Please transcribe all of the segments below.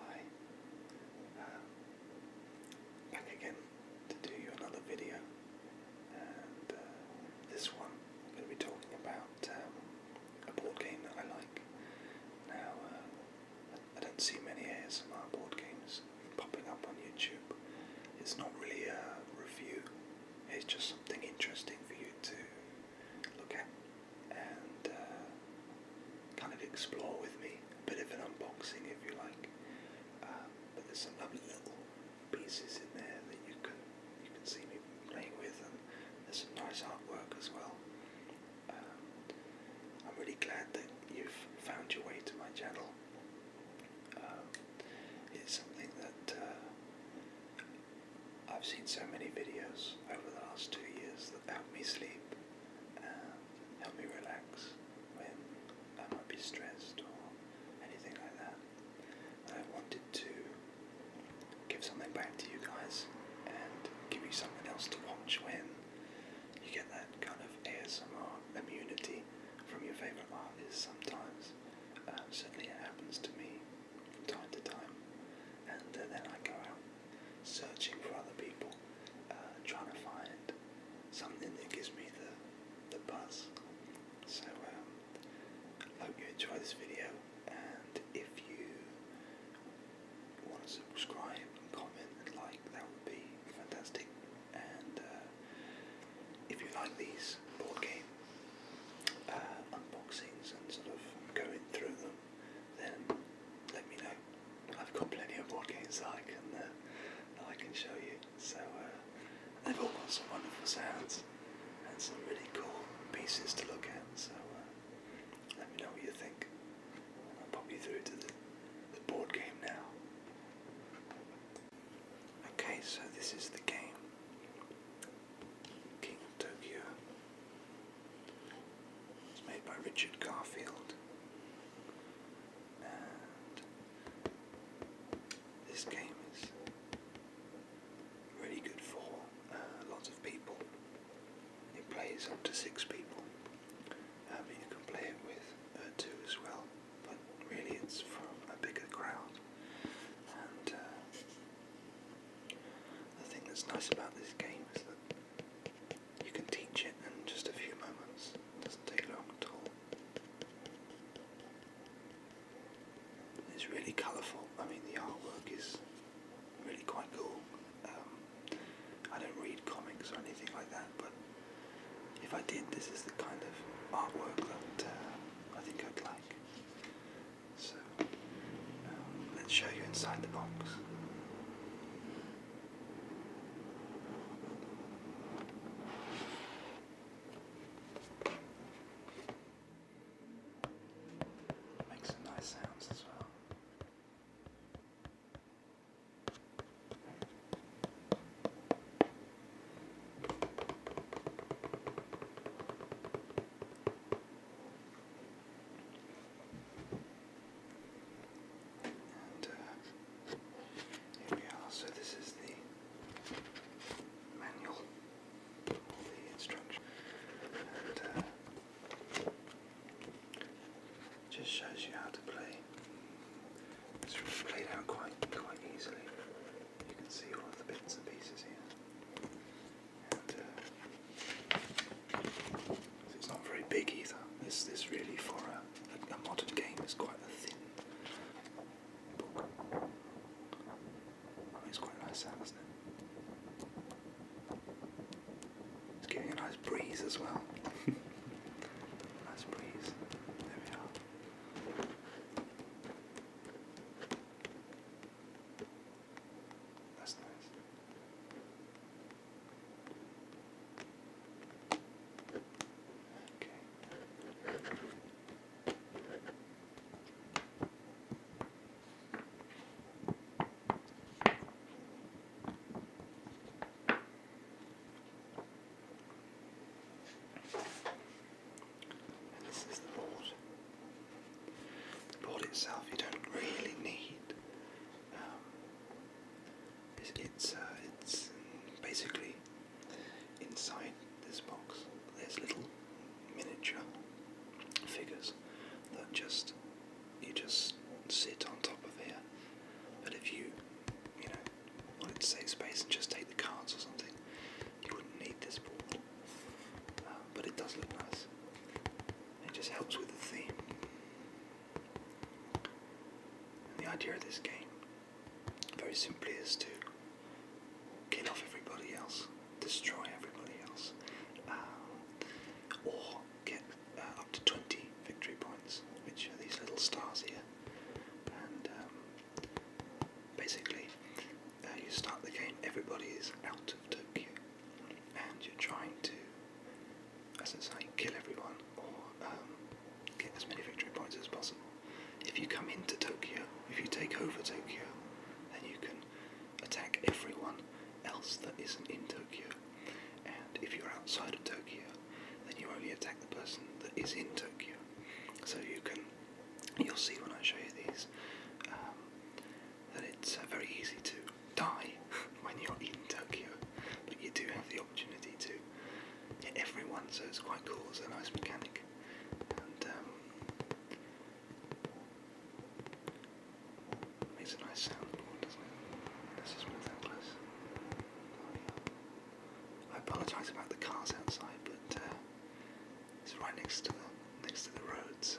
Hi, um, back again to do you another video, and uh, this one I'm going to be talking about um, a board game that I like. Now, uh, I don't see many ASMR board games popping up on YouTube. It's not really a review, it's just something interesting for you to look at and uh, kind of explore with me. A bit of an unboxing, if you like. Um, but there's some lovely little pieces in there that you can you can see me playing with, and there's some nice artwork as well. Um, I'm really glad that you've found your way to my channel. Um, it's something that uh, I've seen so many videos over the last two years that help me sleep and help me relax when I might be stressed or anything like that. I wanted to give something back to you guys and give you something else to watch when you get that kind of ASMR immunity from your favourite artists sometimes. Um, certainly it happens to me from time to time. And then I go out searching for other people, uh, trying to find something that gives me the, the buzz. So um, I hope you enjoy this video and if you want to subscribe and comment and like that would be fantastic and uh, if you like these board game uh, unboxings and sort of going through them then let me know. I've got plenty of board games I can uh, that I can show you. So uh, they've all got some wonderful sounds and some really cool pieces to look at. So uh, let me know what you think. I'll pop you through to the, the board game now. Okay, so this is the game. King Tokyo. It's made by Richard Garfield. this game is really good for uh, lots of people. It plays up to six people. Um, you can play it with uh, two as well, but really it's from a bigger crowd. And uh, the thing that's nice about this game is that you can teach it in just a few moments. doesn't take long at all. It's really colourful. I mean, the artwork is really quite cool. Um, I don't read comics or anything like that, but if I did, this is the kind of artwork that uh, I think I'd like. Um, let's show you inside the box. Makes some nice sounds as well. And uh, here we are. So this is the manual, the instructions, and uh, just shows you how to play. It's played out quite quite easily. You can see all the bits and pieces here. Uh, it's not very big either. This this really for a, modern game is quite a thin book. it's quite nice isn't it? It's giving a nice breeze as well. nice breeze. There we are. That's nice. Okay. this is the Lord the board itself you don't really need. Um, it's uh, it's, basically inside this box. There's little miniature figures that just you just sit on top of here. But if you you know wanted to save space and just take the cards or something, you wouldn't need this board. Uh, but it does look nice. It just helps with the theme. the idea of this game, very simply, is to kill off everybody else, destroy everybody else, uh, or get uh, up to 20 victory points, which are these little stars here. And um, basically, uh, you start the game, everybody is out of Tokyo and you're trying to, as I say, kill everyone or um, get as many victory points as possible. If you come into Tokyo, if you take over Tokyo, then you can attack everyone else that isn't in Tokyo. And if you're outside of Tokyo, then you only attack the person that is in Tokyo. So you can, you'll see when I show you these, um, that it's uh, very easy to die when you're in Tokyo, but you do have the opportunity to hit everyone, so it's quite cool. It's a nice mechanic, um, makes a nice soundboard, doesn't it? Let's just move that close. I apologise about the cars outside, but uh, it's right next to the next to the road, so.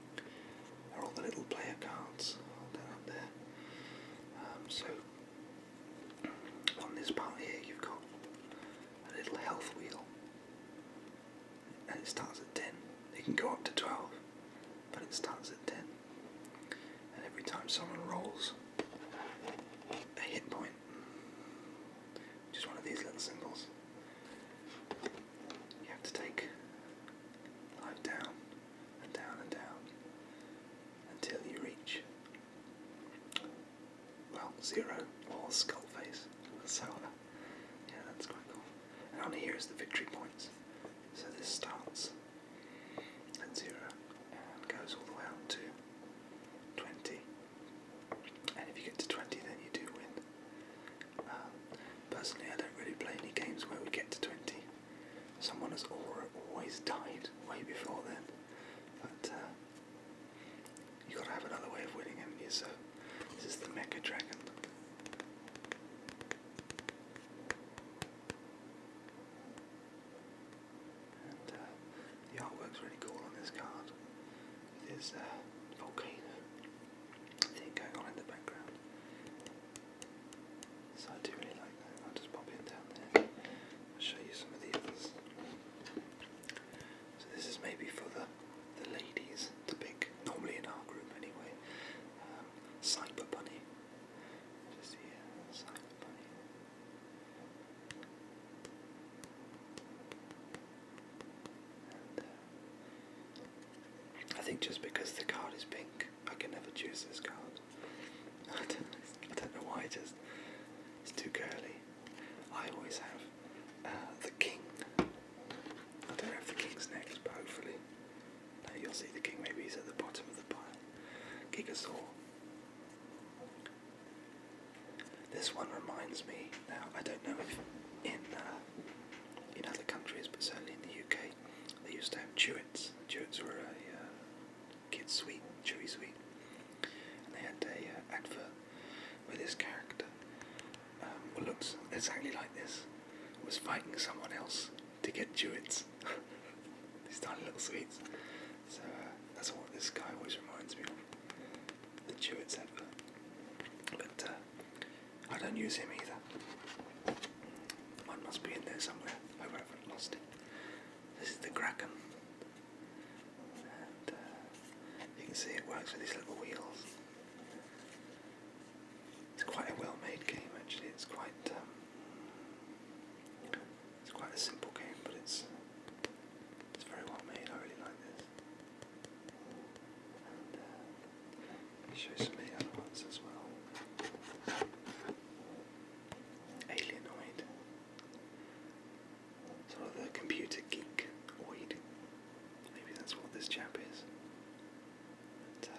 They're all the little player cards. Hold there. Um, so on this part here, you've got a little health wheel, and it starts at 10. It can go up to 12, but it starts at 10. And every time someone rolls a hit point, which is one of these little symbols, you have to take life down and down and down until you reach, well, zero or skull face. So, uh, yeah, that's quite cool. And on here is the victory points. So this starts at zero and goes all the way up to 20. And if you get to 20, then you do win. Um, personally, I don't really play any games where we get to 20. Someone has always died way before then. But uh, you got to have another way of winning, have this is the Mecha Dragon. Uh, the artwork's really cool on this card. There's a uh, volcano thing going on in the background. So I do really like that. I'll just pop it down there. I'll show you some of the others. So this is maybe for the the ladies to pick. Normally in our group anyway. Cyber um, Bunny. Uh, I think just because the card is pink, I can never choose this card. I don't, know why it is. It's too curly. I always have uh, the king. I don't know if the king's next, but hopefully. now you'll see the king. Maybe he's at the bottom of the pile. Gigasaur. This one reminds me. Now I don't know if in uh, in other countries, but certainly in the UK, they used to have Chewits. Chewits were a uh, kid's sweet, chewy sweet. And they had a uh, advert where this character, um, who looks exactly like this, was fighting someone else to get Chewits. These tiny little sweets. So uh, that's what this guy always reminds me of. The Chewits advert. But uh, I don't use him either. Mine must be in there somewhere. I haven't lost it. This is the Kraken. Uh, you can see it works with these little wheels. It's quite a well-made game actually. It's quite um, it's quite a simple game, but it's it's very well made. I really like this shows some other ones as well. Alienoid. Sort of the computer geek Maybe that's what this chap is. Uh,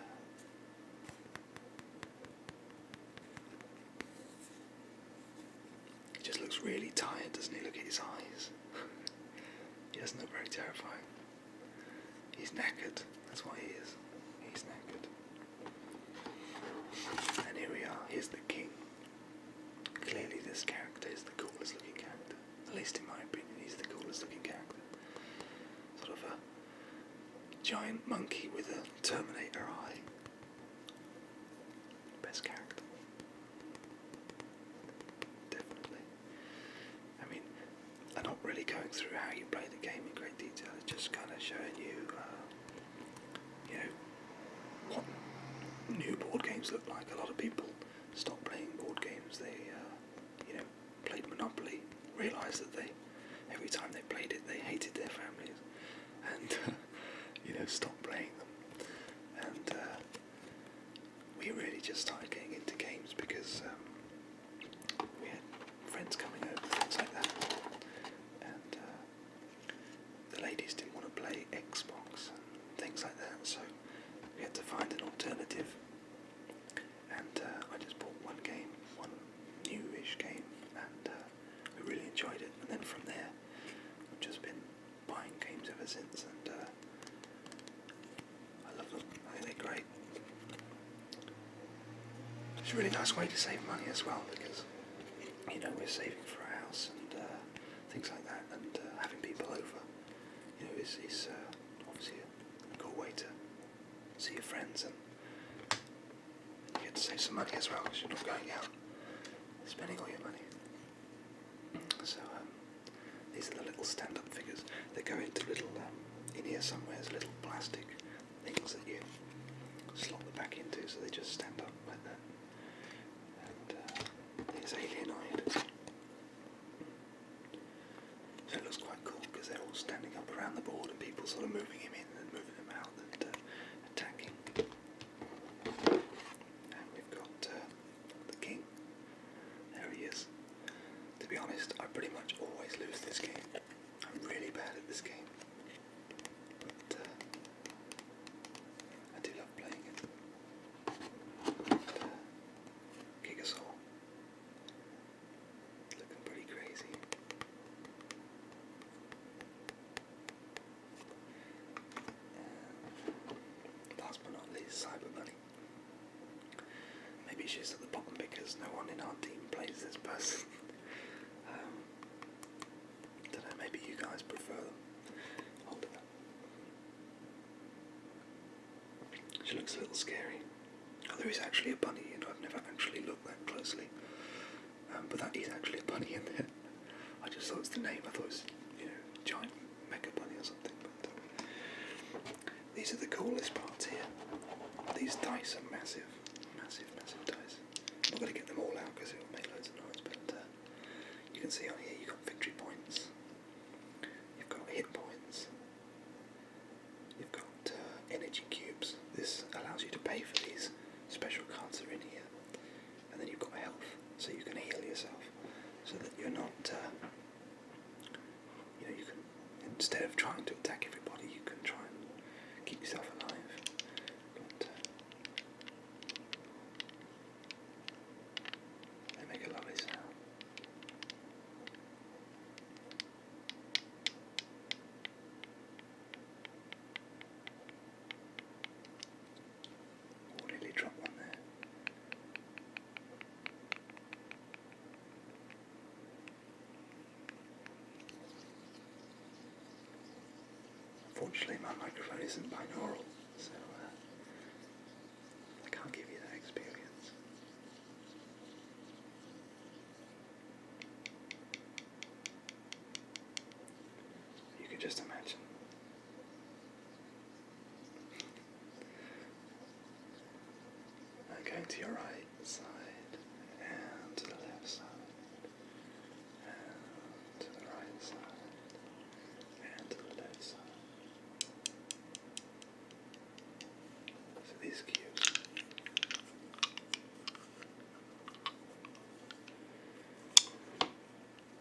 he just looks really tired, doesn't he? Look at his eyes. he doesn't look very terrifying. He's knackered. That's why he is. He's knackered. And here we are. Here's the king. Clearly, this character is the coolest looking character. At least in my opinion, he's the coolest looking character. Sort of a giant monkey with a Terminator eye. Best character. Definitely. I mean, I'm not really going through how you play the game in great detail, it's just kind of showing you, uh, you know, what new board games look like. A lot of people stop playing board games, they, uh, you know, played Monopoly, realised that they, every time they played it, they hated their families, and, you know, stopped playing them. And uh, we really just started getting into games because um, we had friends coming over, things like that. And uh, the ladies didn't want to play Xbox and things like that, so we had to find an alternative. And uh, I just bought one game, one newish game, and uh, we really enjoyed it. And then from there, I've just been buying games ever since, and uh, I love them. I think they're great. It's a really nice way to save money as well because you know we're saving for a house and uh, things like that, and uh, having people over, you know, is is uh, obviously a cool way to see your friends and you get to save some money as well because you're not going out spending all your money. So um, these are the little stand-up figures. They go into little, um, in here somewhere, there's little plastic things that you slot the back into, so they just stand up like that. And uh, there's So it looks quite cool because they're all standing up around the board and people sort of moving him in and moving him out and uh, attacking. And we've got uh, the king there he is. To be honest, I pretty much always lose this game. I'm really bad at this game. But uh, I do love playing it. And, uh, Looking pretty crazy. last but not least, Cyber Money. Maybe she's at the bottom because no one in our team plays this person. Um, don't know, maybe you guys prefer them. She looks a little scary. Oh, there is actually a bunny, and I've never actually looked that closely. Um, but that is actually a bunny in there. I just thought it's the name. I thought it's you know, giant mega bunny or something. These are the coolest parts here. These dice are massive, massive, massive dice. I'm going to get them all out because it will make loads of noise, but uh, you can see on here you've got victory points, you've got hit points, you've got uh, energy cubes. This allows you to pay for these special cards that are in here. And then you've got health, so you can heal yourself so that you're not. Uh, you know, you can instead of trying to attack everybody, you can try and keep yourself alive. Uh, they make a lovely sound. nearly dropped one there. Unfortunately, my microphone isn't binaural, so uh, I can't give you that experience. You can just imagine. And going to your right side and to the left side and to the right side and to the left side. So these cubes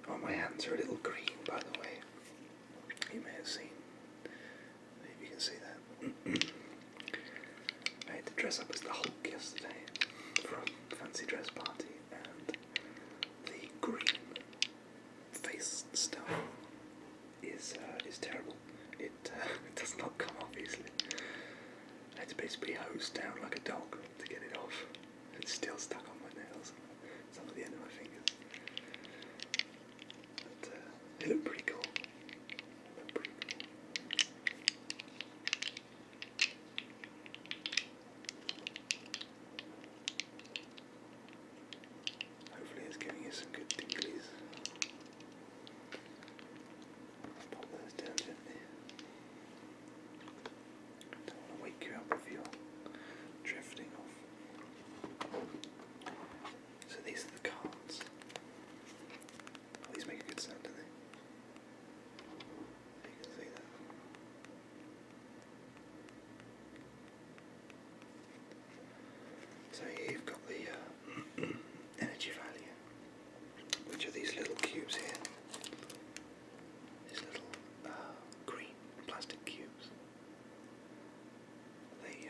Oh, my hands are a little green, by the way you may have seen. Maybe you can see that. I had to dress up as the Hulk yesterday for a fancy dress party, and the green face stuff is uh, is terrible. It uh, it does not come off easily. I had to basically hose down like a dog to get it off. It's still stuck on my nails, some of the end of my fingers. Uh, they look pretty cool. Hopefully it's giving you some good tinglies. Pop those down gently. Don't want to wake you up if you drifting so these are the cards. Oh, these make a good sound, don't they? You can see that. So you've got the uh, energy value, which are these little cubes here. These little uh, green plastic cubes. They,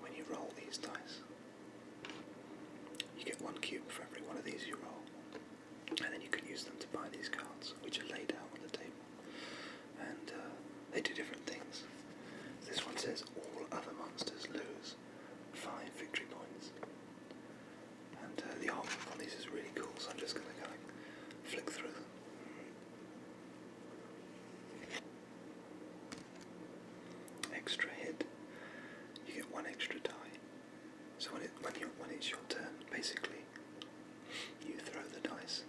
when you roll these dice, you get one cube for every one of these you roll, and then you can use them to buy these cards, which are laid out on the table, and uh, they do different things. This one says all other monsters lose five victory points, and uh, the artwork on these is really cool, so I'm just going to flick through them. Extra hit. You get one extra die. So when it when it's your turn, basically, you throw the dice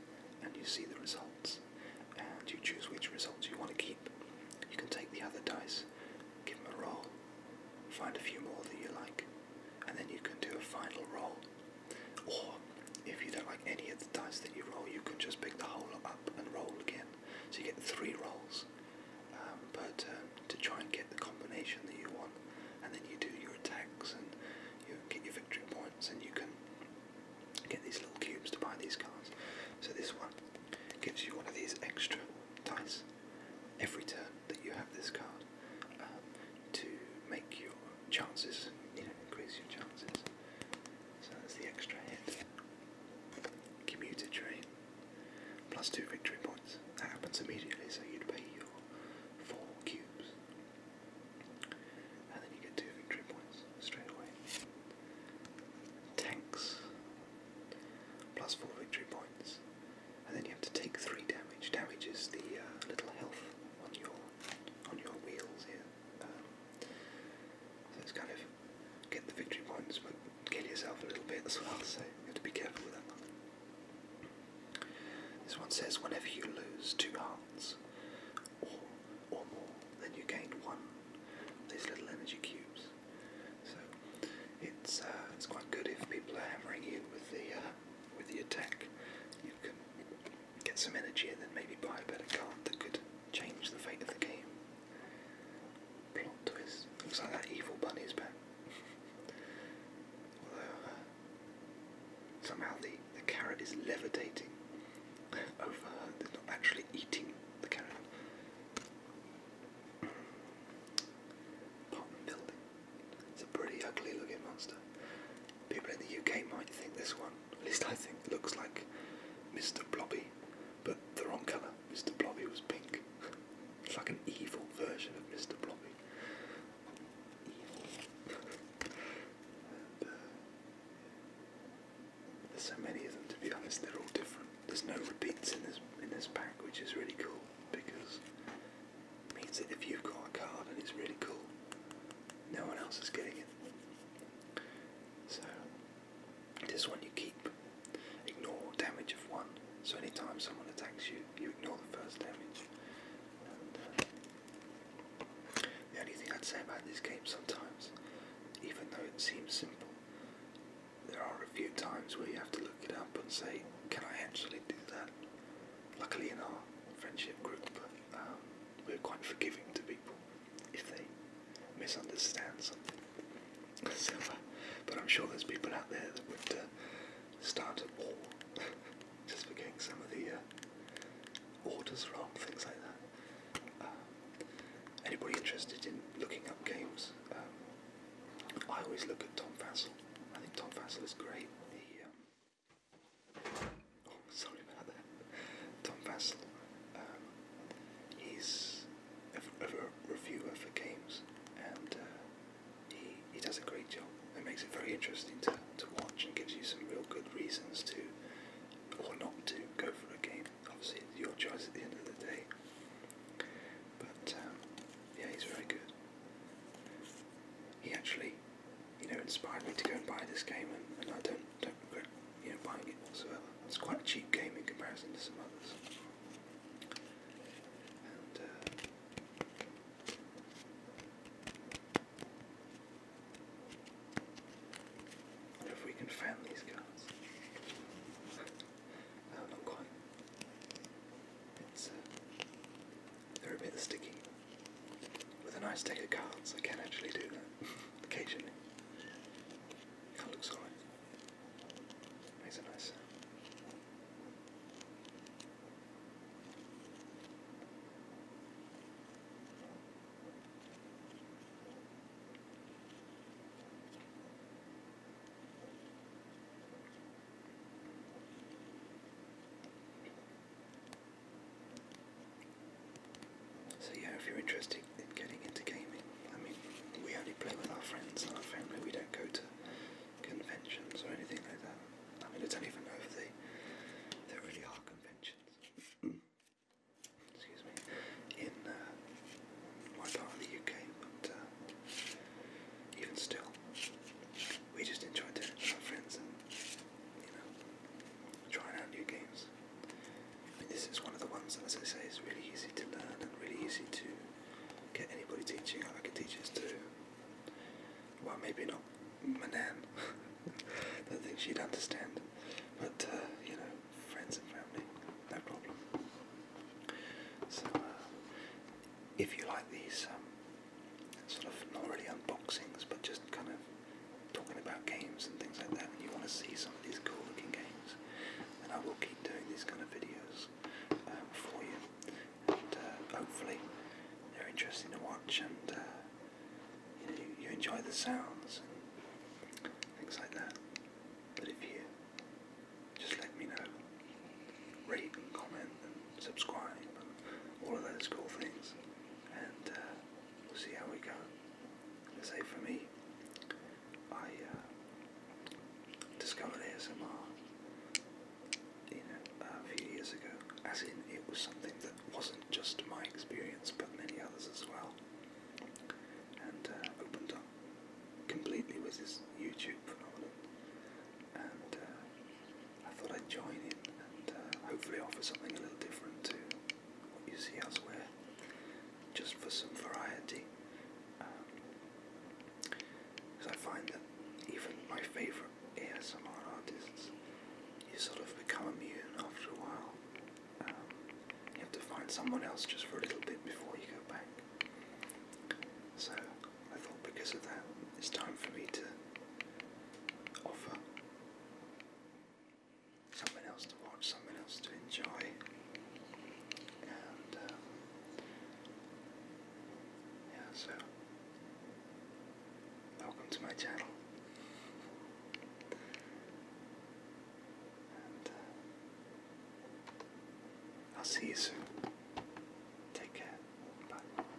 and you see the results, and you choose which results you want to keep. You can take the other dice, give them a roll, find a few more that you like, and then you can do a final roll or if you don't like any of the dice that you roll, you can just pick the whole lot up and roll again. So you get three rolls um, per turn to try and get the combination that you want, and then you do your attacks and you get your victory points, and you can get these little cubes to buy these cards. So this one gives you one of these extra dice every turn that you have this card. Um, to make your chances, you know, increase your chances. So that's the extra hit. Commuter train. Plus two victory points. That happens immediately, so you'd pay your four cubes. And then you get two victory points straight away. Tanks. Plus four victory points. And then you have to take three damage. Damage is the uh, little health on your on your wheels here so it's kind of get the victory points, but kill yourself a little bit as well. So you have to be careful with that This one says, whenever you lose two hearts or or more, then you gain one. Of these little energy cubes. So it's uh, it's quite good if people are hammering you with the uh, with the attack. You can get some energy and then maybe buy a better card that could change the fate of the game. Plot twist. Looks like that evil bunny's back. Uh, somehow the, carrot is levitating over They're not actually eating the carrot. Apartment building. It's a pretty ugly looking monster. People in the UK might think this one, at least I think, looks like Mr. Blobby, but the wrong colour. Mr. Blobby was pink. it's like an evil version of Mr. Blobby. Evil. Uh, there's so many of them to be honest, they're all different. There's no repeats in this in this pack, which is really cool because means that if you've got a card and it's really cool, no one else is getting it. So, this one you keep. Ignore damage of one. So anytime someone attacks you, you ignore the first damage. And, uh, the only thing I'd say about this game sometimes, even though it seems simple, there are a few times where you have to look it up and say, can I actually do that? Luckily in our friendship group, um, we're quite forgiving to people if they misunderstand something. Uh, but I'm sure there's people out there that would uh, start a war just for getting some of the uh, orders wrong, things like that. anybody interested in looking up games? Um, I always look at Tom Vassell. I think Tom Vassell is great. Um, Oh, sorry about that. Tom Vassell. Um, he's a, a, reviewer for games, and uh, he he does a great job. It makes it very interesting to to watch, and gives you some real good reasons to or not to go for a game. Obviously, it's your choice at the end of the day. But um, yeah, he's very good. He actually you know, inspired me to go and buy this game, and, I don't don't regret you know buying it whatsoever. It's quite a cheap game in comparison to some others. And, uh, if we can fan these cards. no, not quite. It's uh, they're a bit sticky. With a nice deck of cards, I can actually do that occasionally. That looks alright. Makes a nice so yeah, if you're interested in getting into gaming, I mean, we only play with our friends and our family, we don't go to conventions or anything like that. I mean, I don't even know if they, there really are conventions. Excuse me, in uh, my part of the UK, but uh, even still, we just enjoy it with our friends and, you know, trying out new games. I mean, this is one of the ones that, as I say, is really easy to learn and really easy to get anybody teaching. I could teach this to, well, maybe not my nan. I don't think she'd understand. But, uh, you know, friends and family, no problem. So, uh, if you like these um, sort of not really unboxings, but just kind of talking about games and things like that, and you want to see some of these cool looking games, then I will keep doing these kind of videos um, for you, and uh, hopefully they're interesting to watch and uh, you, know, you, you enjoy the sounds and things like that. But if you just let me know, rate and comment and subscribe and all of those cool things, and uh, we'll see how we go. Let's for me, I uh, discovered ASMR a few years ago, as in it was something that wasn't just my experience, but many others as well, and uh, opened up completely with this YouTube phenomenon, and uh, I thought I'd join in and uh, hopefully offer something a little different to what you see elsewhere, just for some variety. Because um, I find that even my favourite ASMR artists, you sort of become immune after a while. Um, you have to find someone else just for a little bit before you go back. So I thought because of that, it's time for me to offer Someone else to watch, someone else to enjoy, and um, yeah, so welcome to my channel, uh, I'll see you soon. Take care. Bye.